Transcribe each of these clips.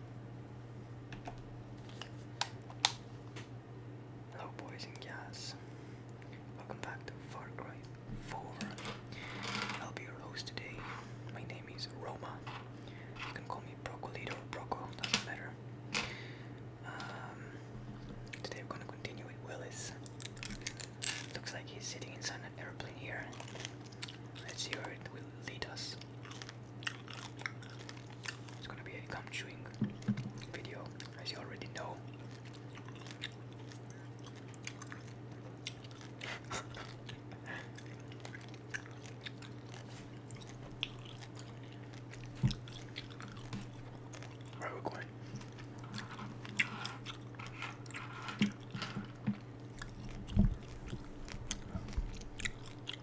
Hello boys and girls. welcome back to Far Cry 4. I'll be your host today. My name is Roma. You can call me Brocolito Broco, doesn't matter. Um, today we're gonna continue with Willis. Looks like he's sitting inside an airplane here. Let's see where it will lead us. It's gonna be a come chewing video, as you already know. Where are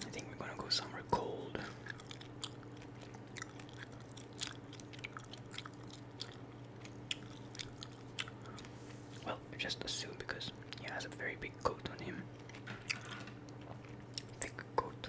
I think we're gonna go somewhere cold. Well, just assume because he has a very big coat on him. Thick coat.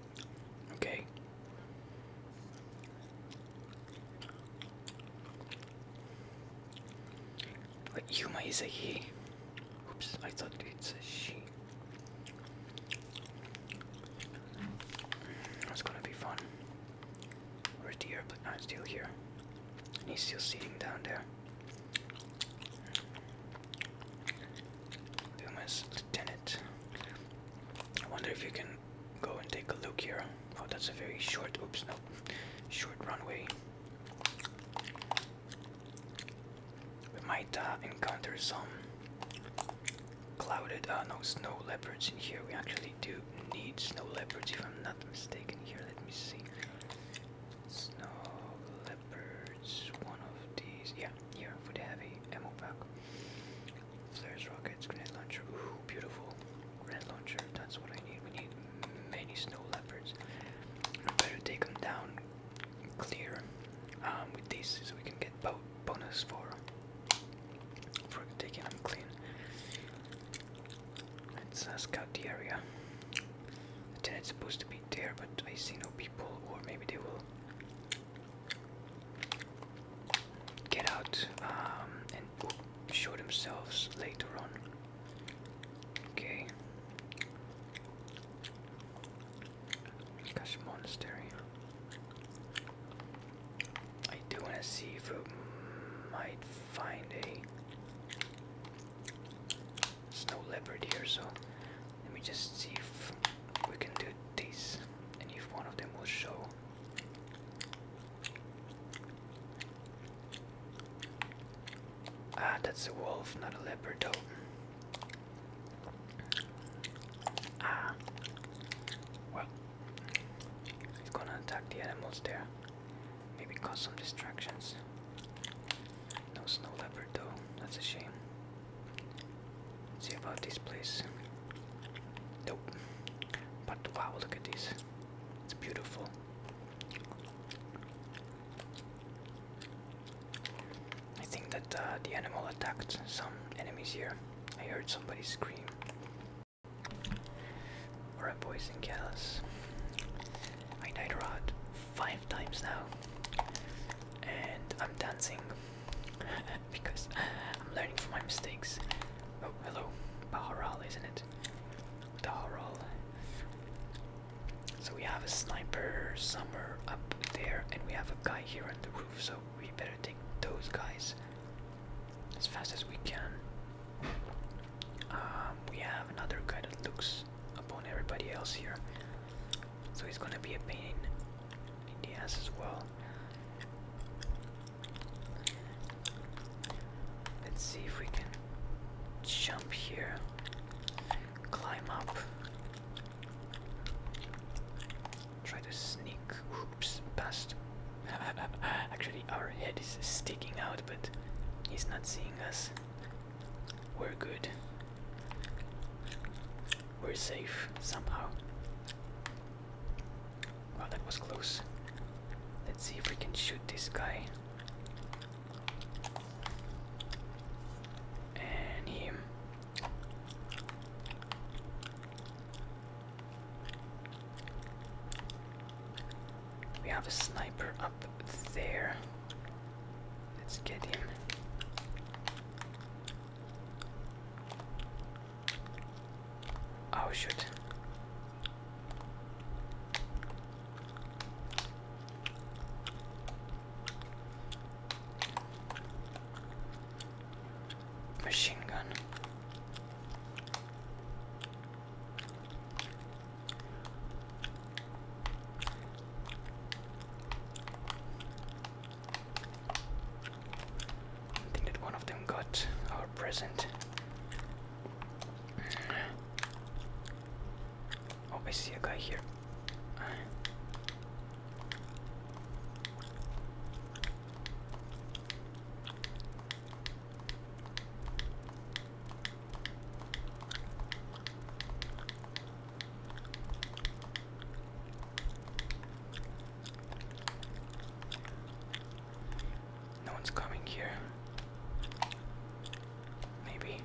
Okay. Wait, Yuma is a he. Oops, I thought it's a she. That's gonna be fun. Where's the airplane? i here. And he's still sitting down there. Loomis, Lieutenant. I wonder if you can go and take a look here. Oh, that's a very short, oops, no, short runway. We might uh, encounter some clouded, uh, no, snow leopards in here. We actually do need snow leopards, if I'm not mistaken. Here, let me see. Snow leopards, one of these. Yeah, here for the heavy ammo pack. Flares, rockets, grenade launcher. Ooh, beautiful. Grenade launcher. That's what I need. We need many snow leopards. I better take them down clear um, with this, so we can get boat bonus for for taking them clean. Let's uh, scout the area. The tenant's supposed to be there, but I see no people, or maybe they will get out um, and show themselves later on. Okay. Gosh, monastery. I do want to see if we might find a snow leopard here, so let me just see if we can do this and if one of them will show Ah, that's a wolf, not a leopard, though. Ah. Well, he's gonna attack the animals there. Maybe cause some distractions. No snow leopard, That's a shame see about this place. Nope. But wow, look at this. It's beautiful. I think that uh, the animal attacked some enemies here. I heard somebody scream. Alright, boys and gals. I died around five times now. And I'm dancing. because I'm learning from my mistakes. Oh, hello. Baharal, isn't it? Baharal. So we have a sniper somewhere up there, and we have a guy here on the roof, so we better take those guys as fast as we can. Um, we have another guy that looks upon everybody else here, so he's gonna be a pain in the ass as well. Let's see if we can jump here, climb up, try to sneak oops past. Actually, our head is sticking out, but he's not seeing us. We're good. We're safe somehow. Wow, that was close. Let's see if we can shoot this guy. And him. We have a sniper up there. Let's get him. Oh shit! Machine gun. I think that one of them got our present. Oh, I see a guy here. No one's coming here. Maybe.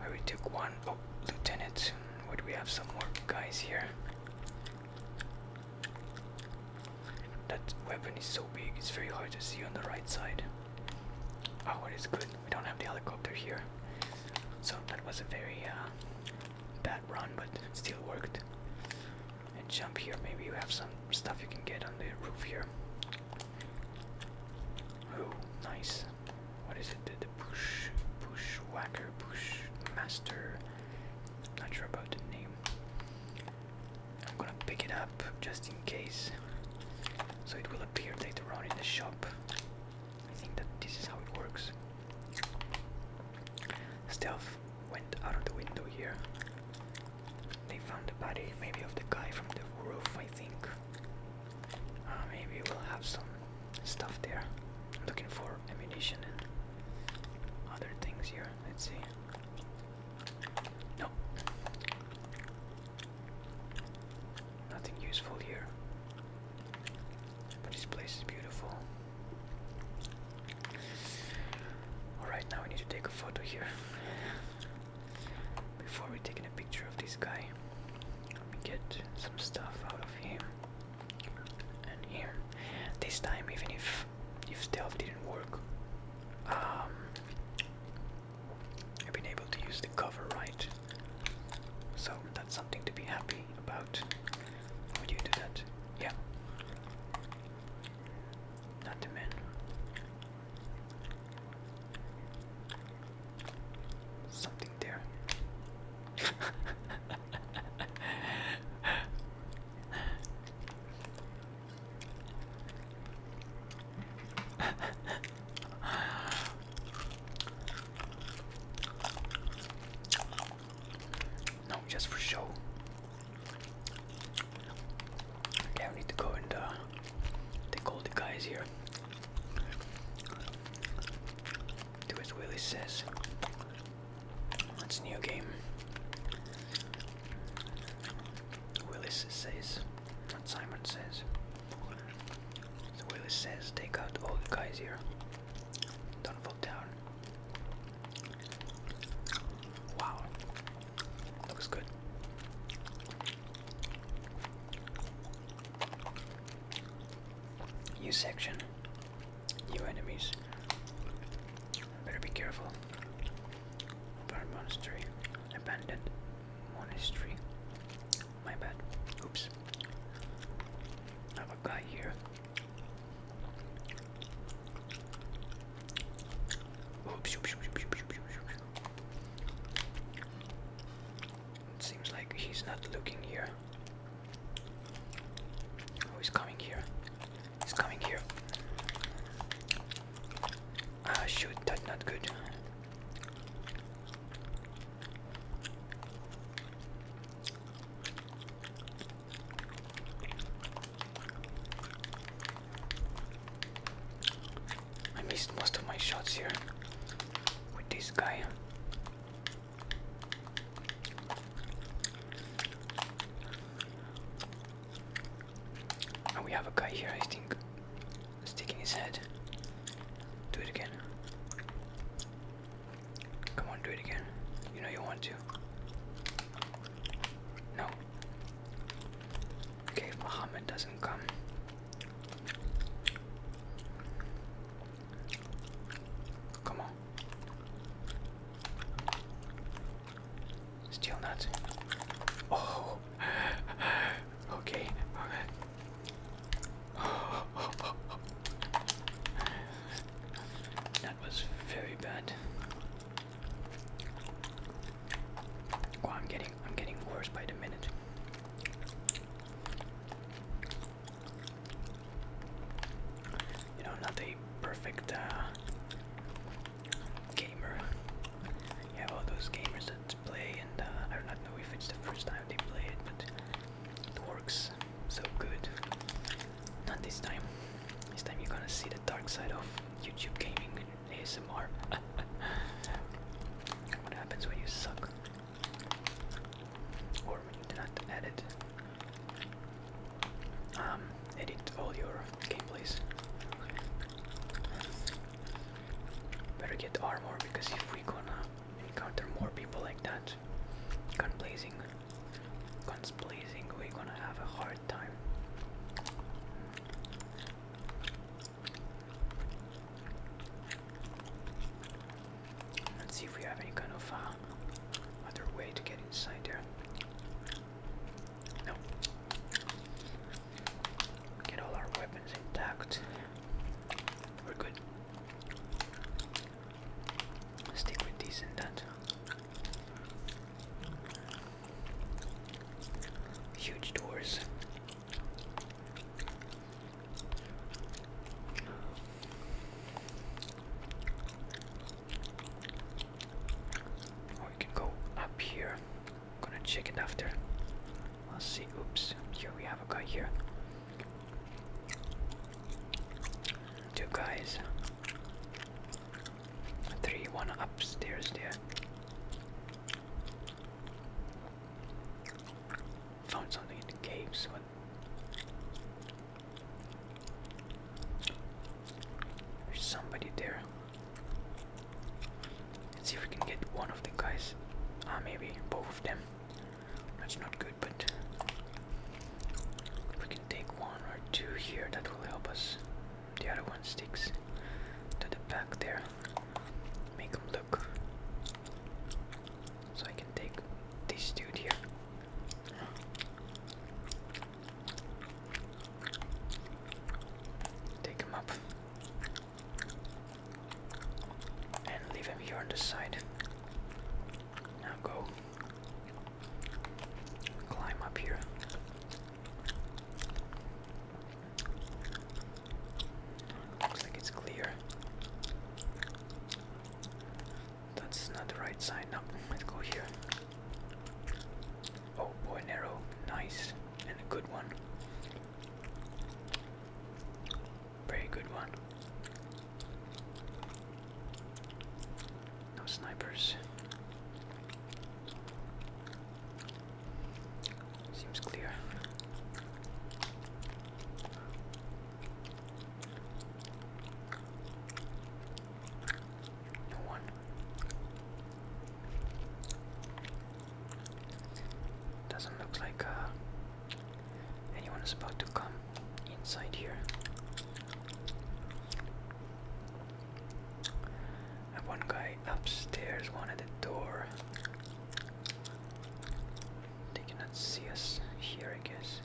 I took one. Oh, Lieutenant. Would we have some more guys here? That weapon is so big, it's very hard to see on the right side. Oh, it is good. We don't have the helicopter here. So that was a very uh, bad run, but still worked. And jump here, maybe you have some stuff you can get on the roof here. Oh, nice. What is it? the push, push whacker, push master. Not sure about the name. I'm gonna pick it up just in case. So it will appear later on in the shop. I think that this is how it works. Stealth went out of the window here. They found the body, maybe of the guy from the roof, I think. Uh, maybe we'll have some stuff there. looking for ammunition and other things here. Let's see. No, Nothing useful here. But this place is beautiful. Alright, now we need to take a photo here. Before we're taking a picture of this guy, let me get some stuff out of him and here. This time, even if if stealth didn't work, um, I've been able to use the cover right. So that's something to be happy about. Would you do that? Yeah. Not the men. Something there. no, just for show. Okay, I need to go and uh, take all the guys here. Do as Willie says. That's new game. Willis says, Simon says. Willis says, take out all the guys here. Don't fall down. Wow, looks good. New section, new enemies. Better be careful. Burn monastery abandoned monastery. My bad. Oops. have a guy here. It seems like he's not looking here. Oh, he's coming here. He's coming here. Ah shoot, that's not good. I missed most of my shots here with this guy. And we have a guy here, I think, sticking his head. Do it again. Come on, do it again. You know you want to. No. Okay, if Muhammad doesn't come. Come on. Steel nuts. Oh. Okay. That was very bad. Oh, I'm getting I'm getting worse by the minute. You know, not a perfect uh, gamer. You have all those gamers that play, and uh, I do not know if it's the first time they play it, but it works so good. Not this time. This time you're gonna see the dark side of YouTube gaming ASMR. what happens when you suck? Or when you do not edit? Um, edit all your gameplays. Better get armor because if we gonna encounter more people like that, gun blazing, guns blazing, we gonna have a hard time. Let's see if we have any kind of uh, other way to get inside there. No. Get all our weapons intact. We're good. Stick with these and that. Huge doors. Or we can go up here I'm gonna check it after. Let's see. Oops. Here we have a guy here. Two guys. Three. One upstairs there. Found something in the caves. There's somebody there. Let's see if we can get one of the guys. Ah, maybe both of them. That's not good, but we can take one or two here, that will help us. The other one sticks to the back there. Make them look. So I can take this dude here. Take him up and leave him here on the side. Now go climb up here. Looks like it's clear. That's not the right side. No, let's go here. Oh, bow and nice and a good one. Very good one. No snipers. Seems clear. No one. Doesn't look like uh, anyone is about to come inside here. one guy upstairs, one at the door. They cannot see us here, I guess.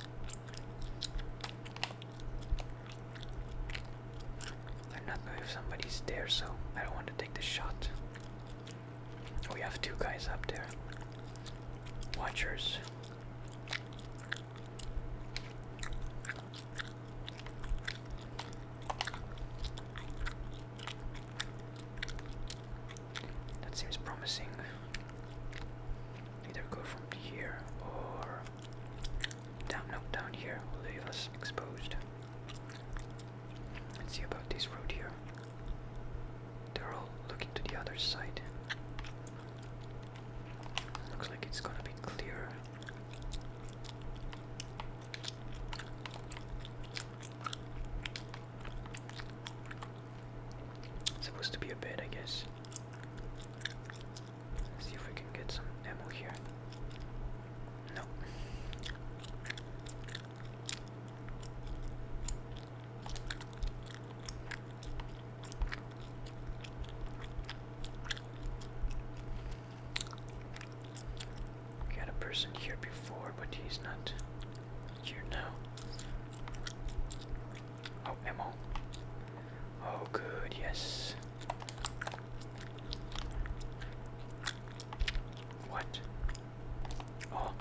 I'm not know if somebody's there, so I don't want to take the shot. We have two guys up there. Watchers. That seems promising. Either go from here or down, no, down here will leave us exposed. Let's see about this road here. They're all looking to the other side. Looks like it's gonna be clear. It's supposed to be a bed, I guess. see if we can get some ammo here. No. a person here before, but he's not here now. Oh, ammo. Oh, good, yes. What? Oh,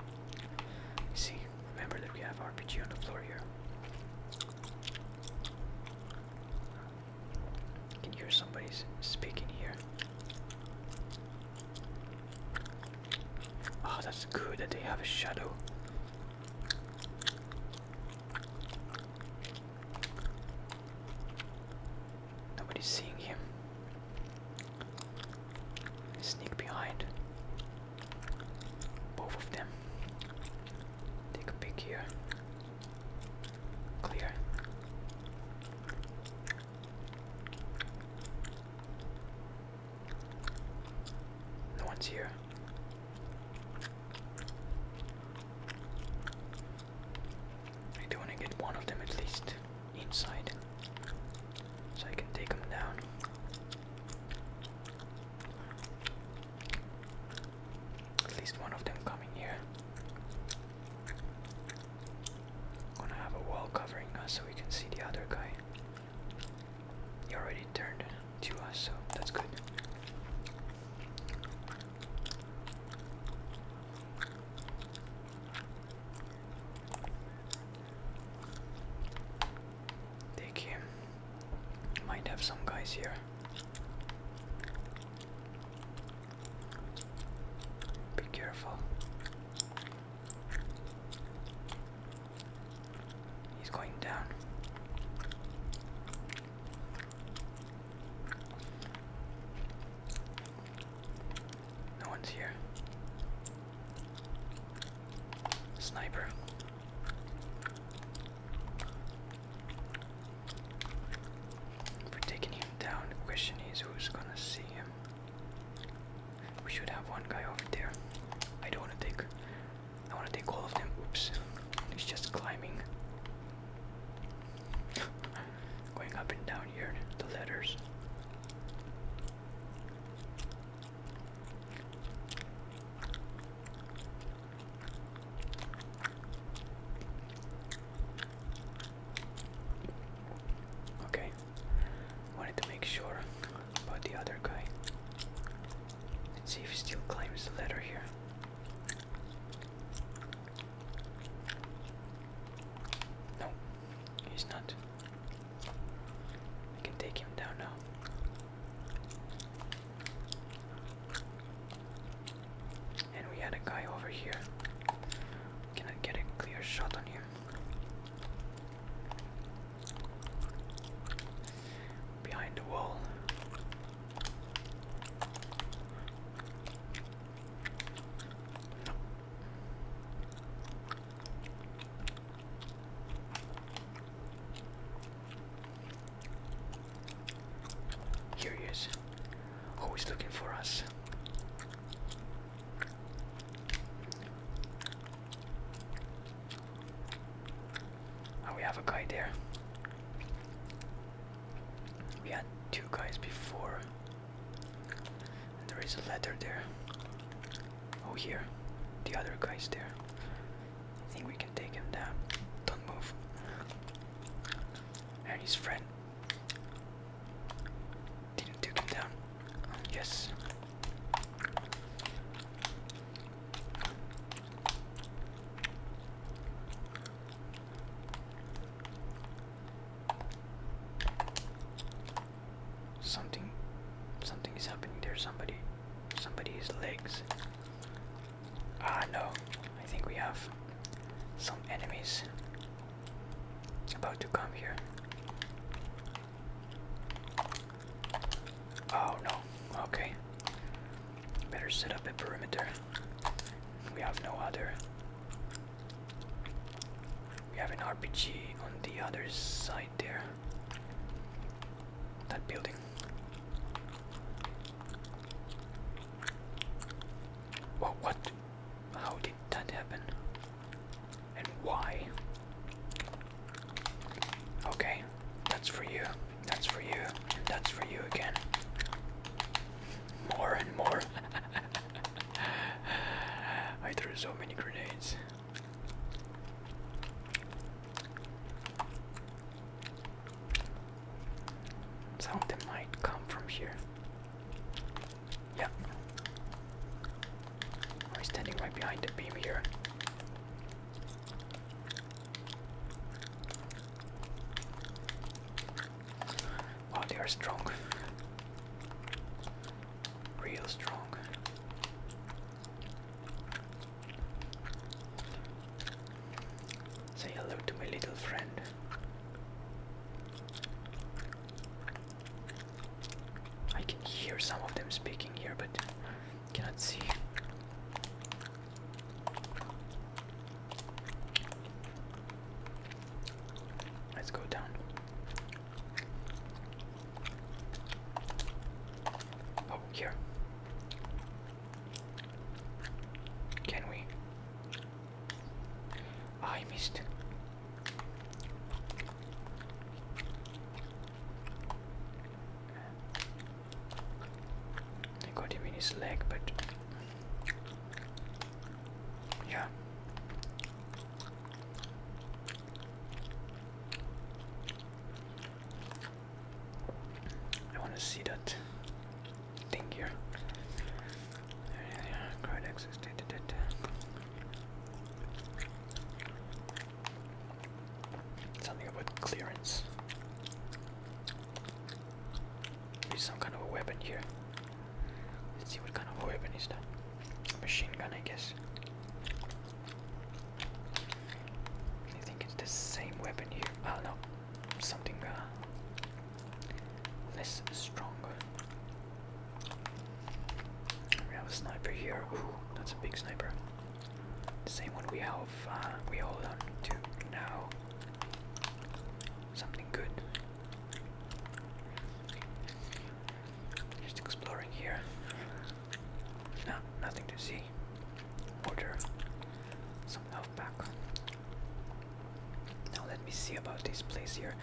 see, remember that we have RPG on the floor here. can hear somebody's speaking here. Oh, that's good that they have a shadow. Nobody's seeing him. Sneak behind both of them. Take a peek here. Clear. No one's here. I do want to get one of them at least inside so I can take them down. At least one of them coming here. gonna have a wall covering us so we can see the other guy. He already turned to us, so that's good. Take Might have some guys here. Be careful. He's going down. No one's here. Sniper. We're taking him down. question is who's gonna see him. We should have one guy over there. I don't wanna take I wanna take all of them. Oops. He's just climbing going up and down here, the letters. Okay, wanted to make sure about the other guy. Let's see if he still claims the letter here. No, he's not. We can take him down now. And we had a guy over here. Can I get a clear shot on him? Behind the wall. Here Always looking for us. Oh, we have a guy there. We had two guys before there is a letter there. Oh, here. The other guy's there. I think we can take him down. Don't move. And his friend. Didn't take him down. Yes. Something something is happening there, somebody somebody's legs. Ah no, I think we have some enemies about to come here. Oh no, okay. Better set up a perimeter. We have no other we have an RPG on the other side there. That building. Well, what? How did that happen? And why? Okay, that's for you. That's for you. That's for you again more and more. I threw so many grenades. Something might come from here. Yeah. I'm standing right behind the beam here. Wow, oh, they are strong. Real strong. Say hello to my little friend. I can hear some of them speaking here, but cannot see. Let's go down. Oh, here. Can we? I missed. I got him in his leg, but yeah. I want to see that thing here. Card access data data. Something about clearance. There's some kind of a weapon here. Let's see what kind of weapon is that. Machine gun, I guess. I think it's the same weapon here. Oh no, something uh, less strong. We have a sniper here. Ooh, that's a big sniper. The same one we have. Uh, we hold on to now. Something good. Just exploring here. No, nothing to see. Order some health back. Now let me see about this place here.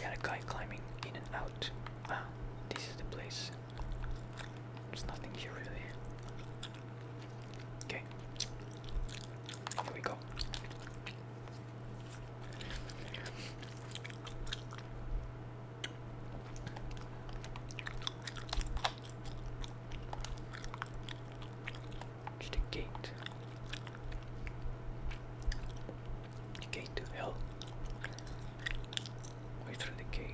Yeah, a guy climbing in and out. Ah, this is the place. There's nothing here really. Okay. Here we go. To the gate. gate to hell. Way through the cave.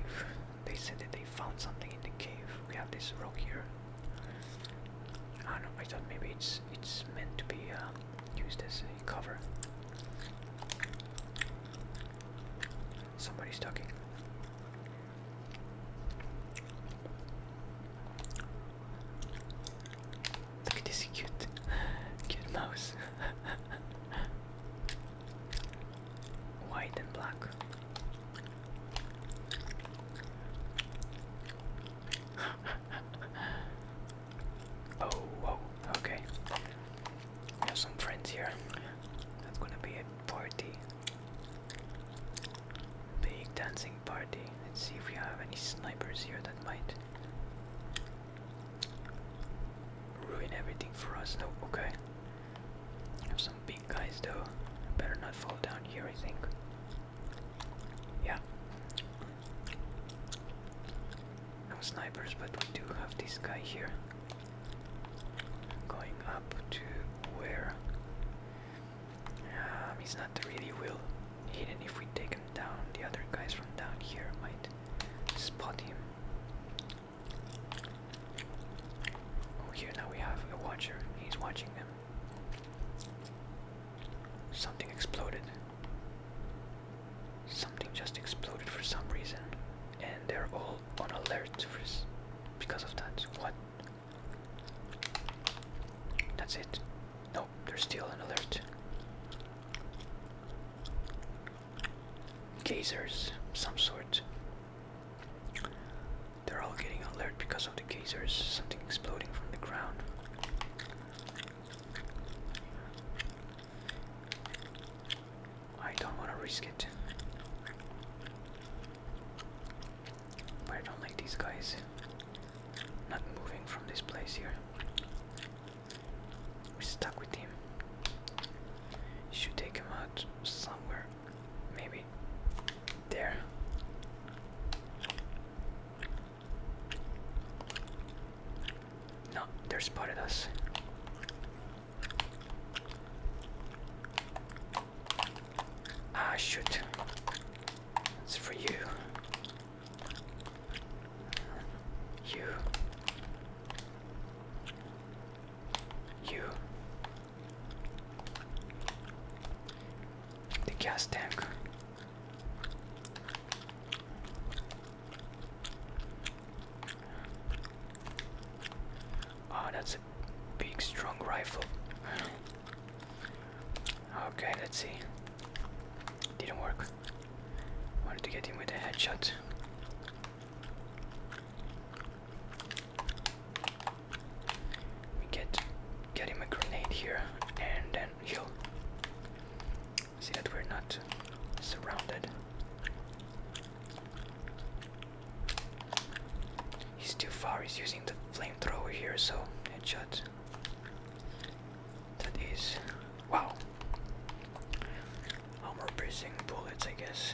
They said that they found something in the cave. We have this rock here. I don't I thought maybe it's it's meant to be. Uh, Use this cover. Somebody's talking. Look at this cute, cute mouse. White and black. Oh, okay. We have some friends here. That's gonna be a party. Big dancing party. Let's see if we have any snipers here that might ruin everything for us. No, okay. We have some big guys though. Better not fall down here, I think. Yeah. No snipers, but we do have this guy here. Going up to where? Um, he's not really well hidden. If we take him down, the other guys from down here might spot him. Oh, here now we have a watcher. He's watching them. Something exploded. Something just exploded for some reason, and they're all on alert for because of that. What? That's it. Nope, there's still an alert. Gazers, some sort. They're all getting alert because of the gazers. Something exploding from the ground. I don't want to risk it. But I don't like these guys not moving from this place here. We're stuck with him. Should take him out somewhere. Maybe there. No, they're spotted us. Ah, shoot. It's for you. You. You. The gas tank. Oh, that's a big, strong rifle. okay, let's see. Didn't work. Wanted to get him with a headshot. Let get get him a grenade here and then heal. See that we're not surrounded. He's too far, he's using the flamethrower here, so headshot. That is. Wow! Armor piercing bullets, I guess.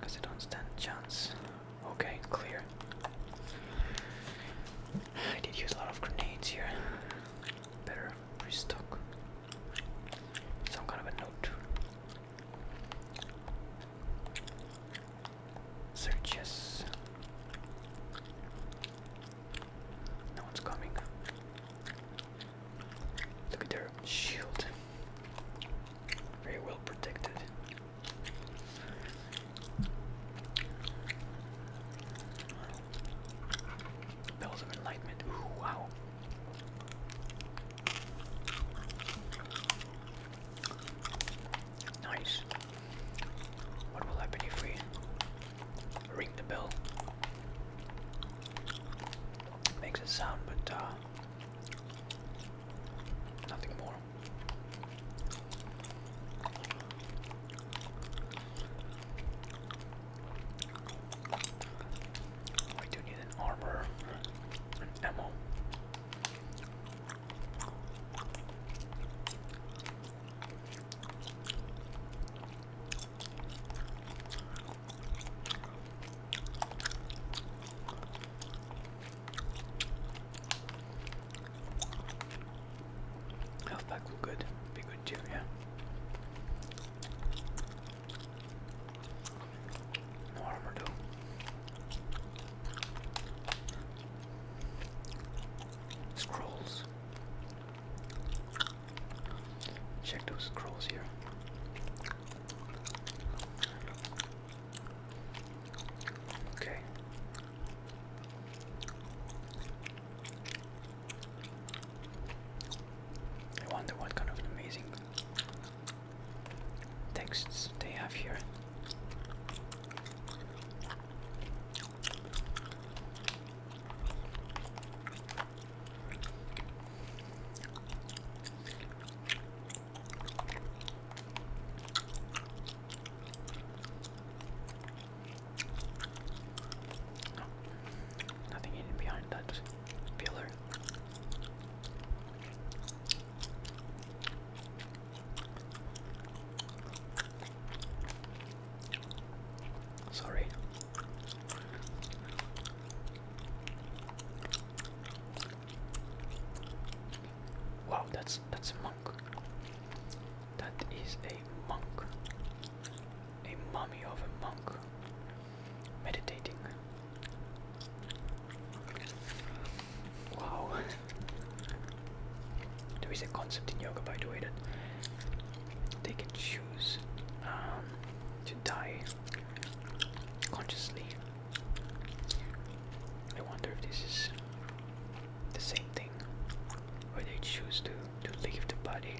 Because they don't stand a chance. Okay, clear. I did use a lot of grenades here. Better restock. Some kind of a note. Searches. No one's coming. Look at shield. Very well protected. Bells of Enlightenment. Ooh, wow. Nice. What will happen if we ring the bell? Makes a sound, but uh, nothing more. I do need an armor and ammo. Health pack will good be good too, yeah. No armor though. Scrolls. Check those scrolls here. Okay. I wonder what kind of amazing texts they have here. No, nothing hidden behind that pillar. Sorry. Wow, that's that's a monk. That is a monk. A mummy of a monk. Meditating. Wow. there is a concept in yoga, by the way, that they can choose um, to die consciously. I wonder if this is the same thing where they choose to, to leave the body.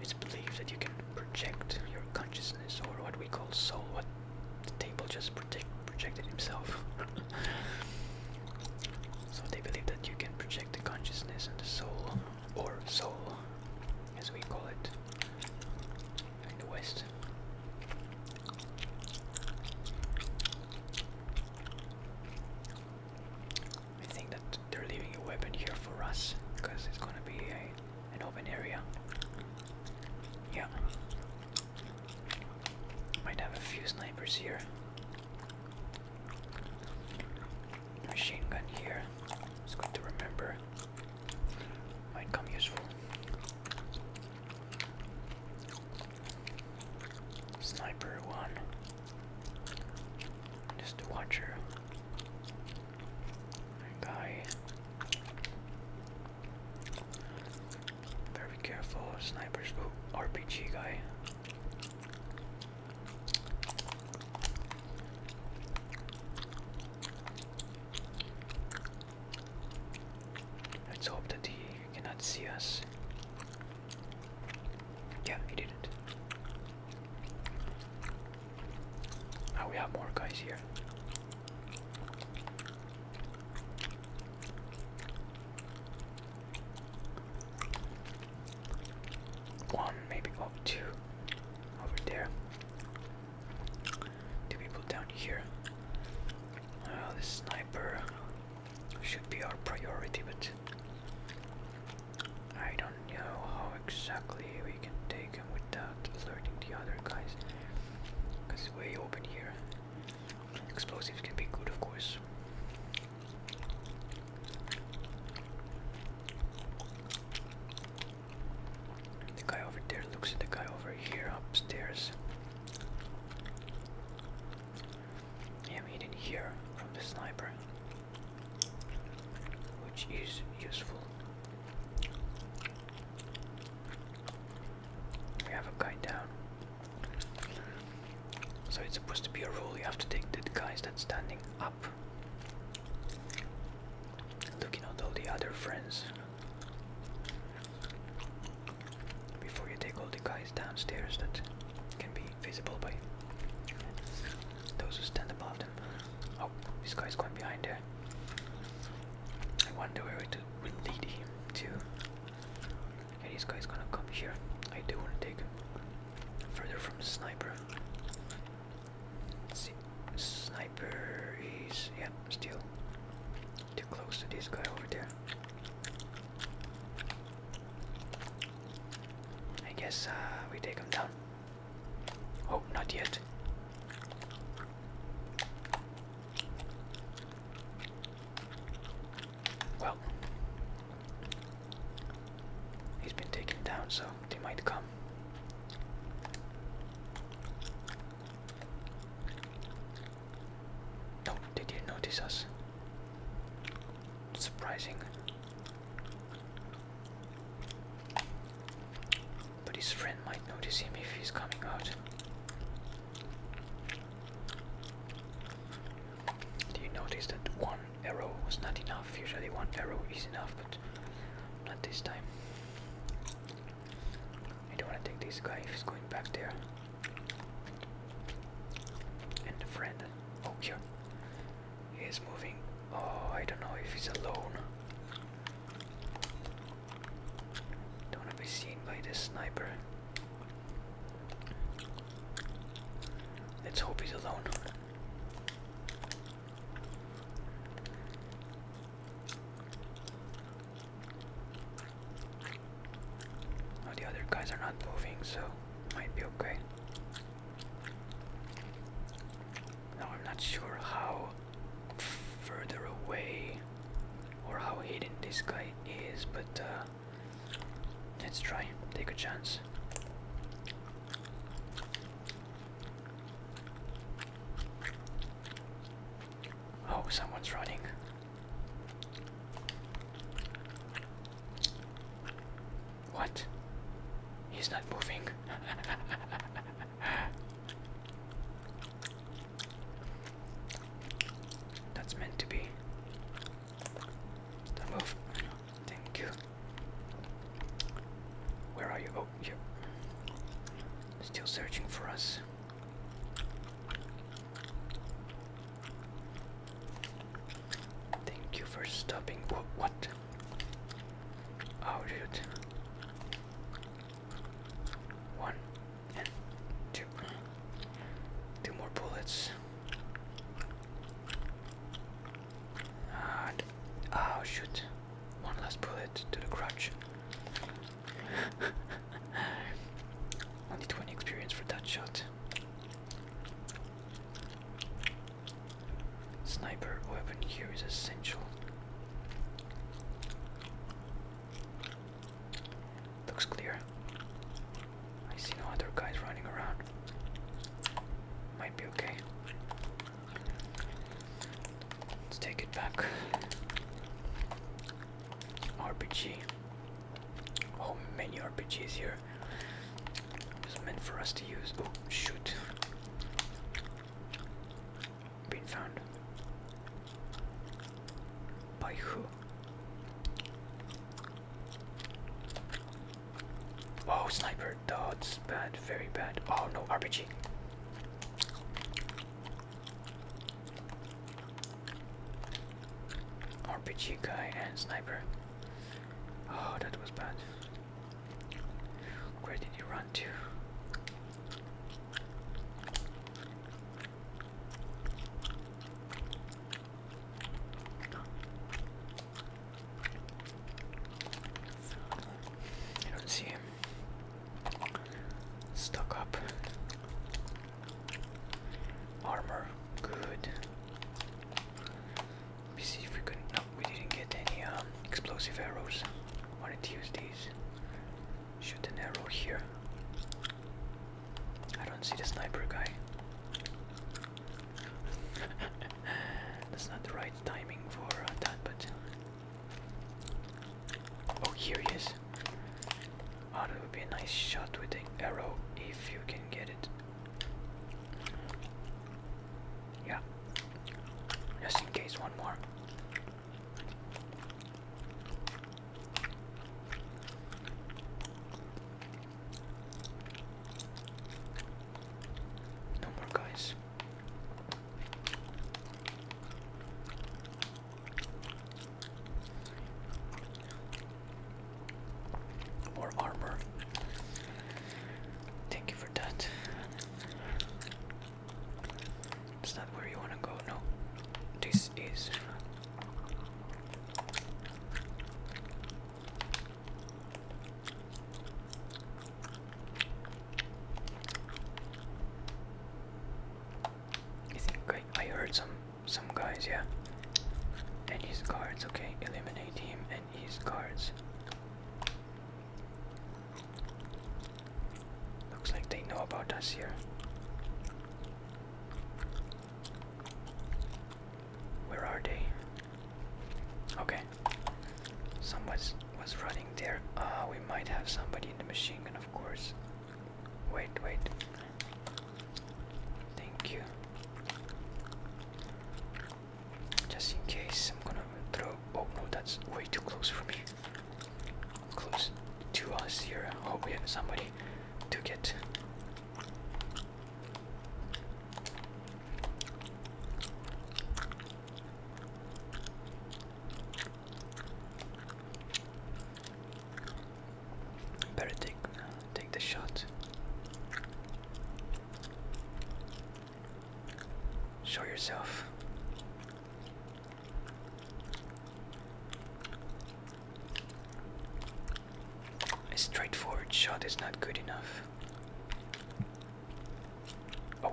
It's believed that you can project your consciousness or what we call soul, what the table just project, projected himself. so they believe that you can project the consciousness and the soul, or soul as we call it, in the West. I think that they're leaving a weapon here for us because it's gonna be a, an open area. Yeah. Might have a few snipers here. Machine gun here. It's good to remember might come useful. Sniper one. Just a watcher. Guy. Very careful, snipers. Ooh, RPG guy. Let's hope that he cannot see us. Yeah, he didn't. Now we have more guys here. One, maybe oh, two over there. Two people down here. Uh, this sniper should be our priority, but I don't know how exactly we can take him without alerting the other guys. Because it's way open here. Explosives can be good, of course. The guy over there looks at the guy over here upstairs. I am hidden here from the sniper, which is useful. We have a guy down. So it's supposed to be a rule you have to take the guys that's standing up. Looking at all the other friends before you take all the guys downstairs that can be visible by those who stand above them. Oh, this guy's going behind there. I wonder where it will lead him to. Okay, this guy's gonna come here. I do want to take him further from the sniper. see. Sniper is, yeah, still too close to this guy over there. I guess uh, we take him down. Oh, not yet. Well, he's been taken down, so they might come. No, did you notice us. Surprising. But his friend might notice him if he's coming out. Do you notice that one arrow was not enough? Usually one arrow is enough, but not this time. I don't want to take this guy if he's going back there. And the friend. Oh, here. He is moving. Oh, I don't know if he's alone. Don't want to be seen by this sniper. Let's hope he's alone. Oh, the other guys are not moving, so might be okay. Now I'm not sure how further away or how hidden this guy is, but uh, let's try, take a chance. Oh, someone's running. What? He's not moving. That's meant to be. Don't move. Thank you. Where are you? Oh, you. Still searching for us. Thank you for stopping. What? What? Oh shoot! One two. Two more bullets. And oh shoot! One last bullet to the crotch. Only 20 experience for that shot. Sniper weapon here is essential. Looks clear. I see no other guys running around. Might be okay. Let's take it back. RPG. Oh, many RPGs here. It's meant for us to use. Oh, shoot. Been found. By who? Oh, sniper. That's bad. Very bad. Oh, no, RPG. RPG guy and sniper. Oh, that was bad. Where did you run to? I don't see him. Stuck up. Armor, good. Let me see if we could. No, we didn't get any um, explosive arrows. Wanted to use these. Shoot an arrow here. I don't see the sniper guy. That's not the right timing for uh, that, but Oh, here he is. Oh, it would be a nice shot with the arrow if you can get it. Yeah. Just in case, one more. No more guys. More armor. Thank you for that. Is that where you want to go? No. This is. I think I, I heard some some guys, yeah. And his guards, okay. Eliminate him and his guards. Looks like they know about us here. Where are they? Okay. Someone was running there. Ah, we might have somebody in the machine and of course. Wait, wait. Thank you. Just in case, I'm gonna throw. Oh no, that's way too close for me. Close to us here. Hope oh, we have somebody to get. Better take uh, take the shot. Show yourself. A straightforward shot is not good enough. Oh,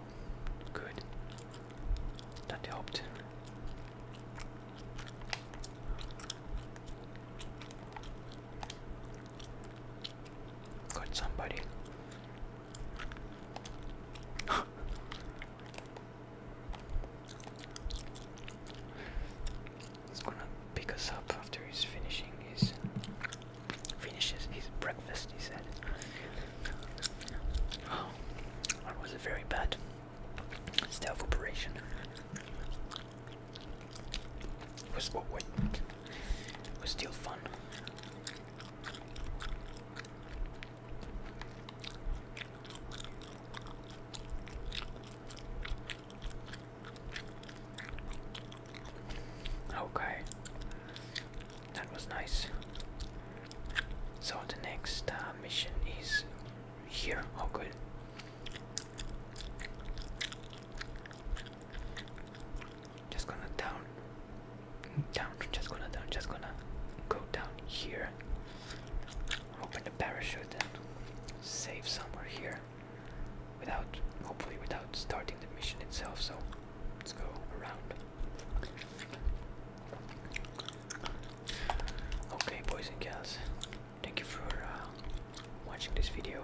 good. That helped. Got somebody. He's gonna pick us up after he's finishing his finishes his breakfast he said. Oh that was very bad Stealth operation. was oh, what what it still fun. Okay, that was nice. So the next uh, mission is here. Oh, good. Just gonna down, down. Just gonna down. Just gonna go down here. Open the parachute save somewhere here, without, hopefully, without starting the mission itself. So let's go around. Okay, boys and girls, thank you for uh, watching this video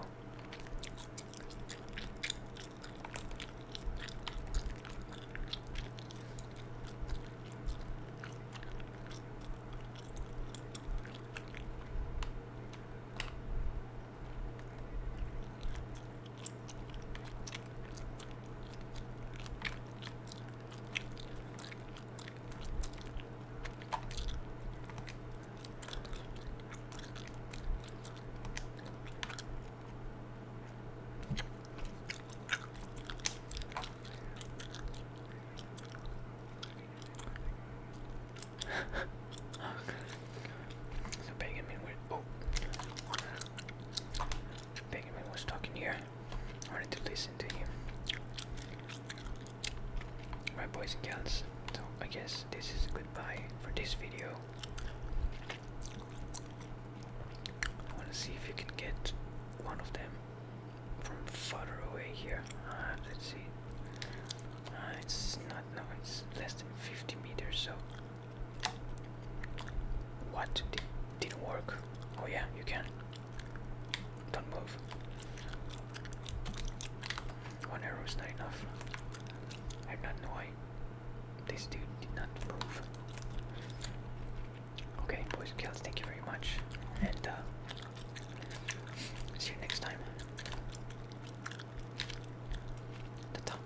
so Benjamin was, oh, Benjamin was talking here. I wanted to listen to him. My boys and girls, so I guess this is goodbye for this video. I want to see if you can get one of them from further away here. Ah, let's see. Ah, it's not, no, it's less than 50 meters, so. What? Did, didn't work. Oh, yeah, you can. Don't move. One arrow is not enough. I do not know why this dude did not move. Okay, boys and girls, thank you very much, and uh, see you next time. Ta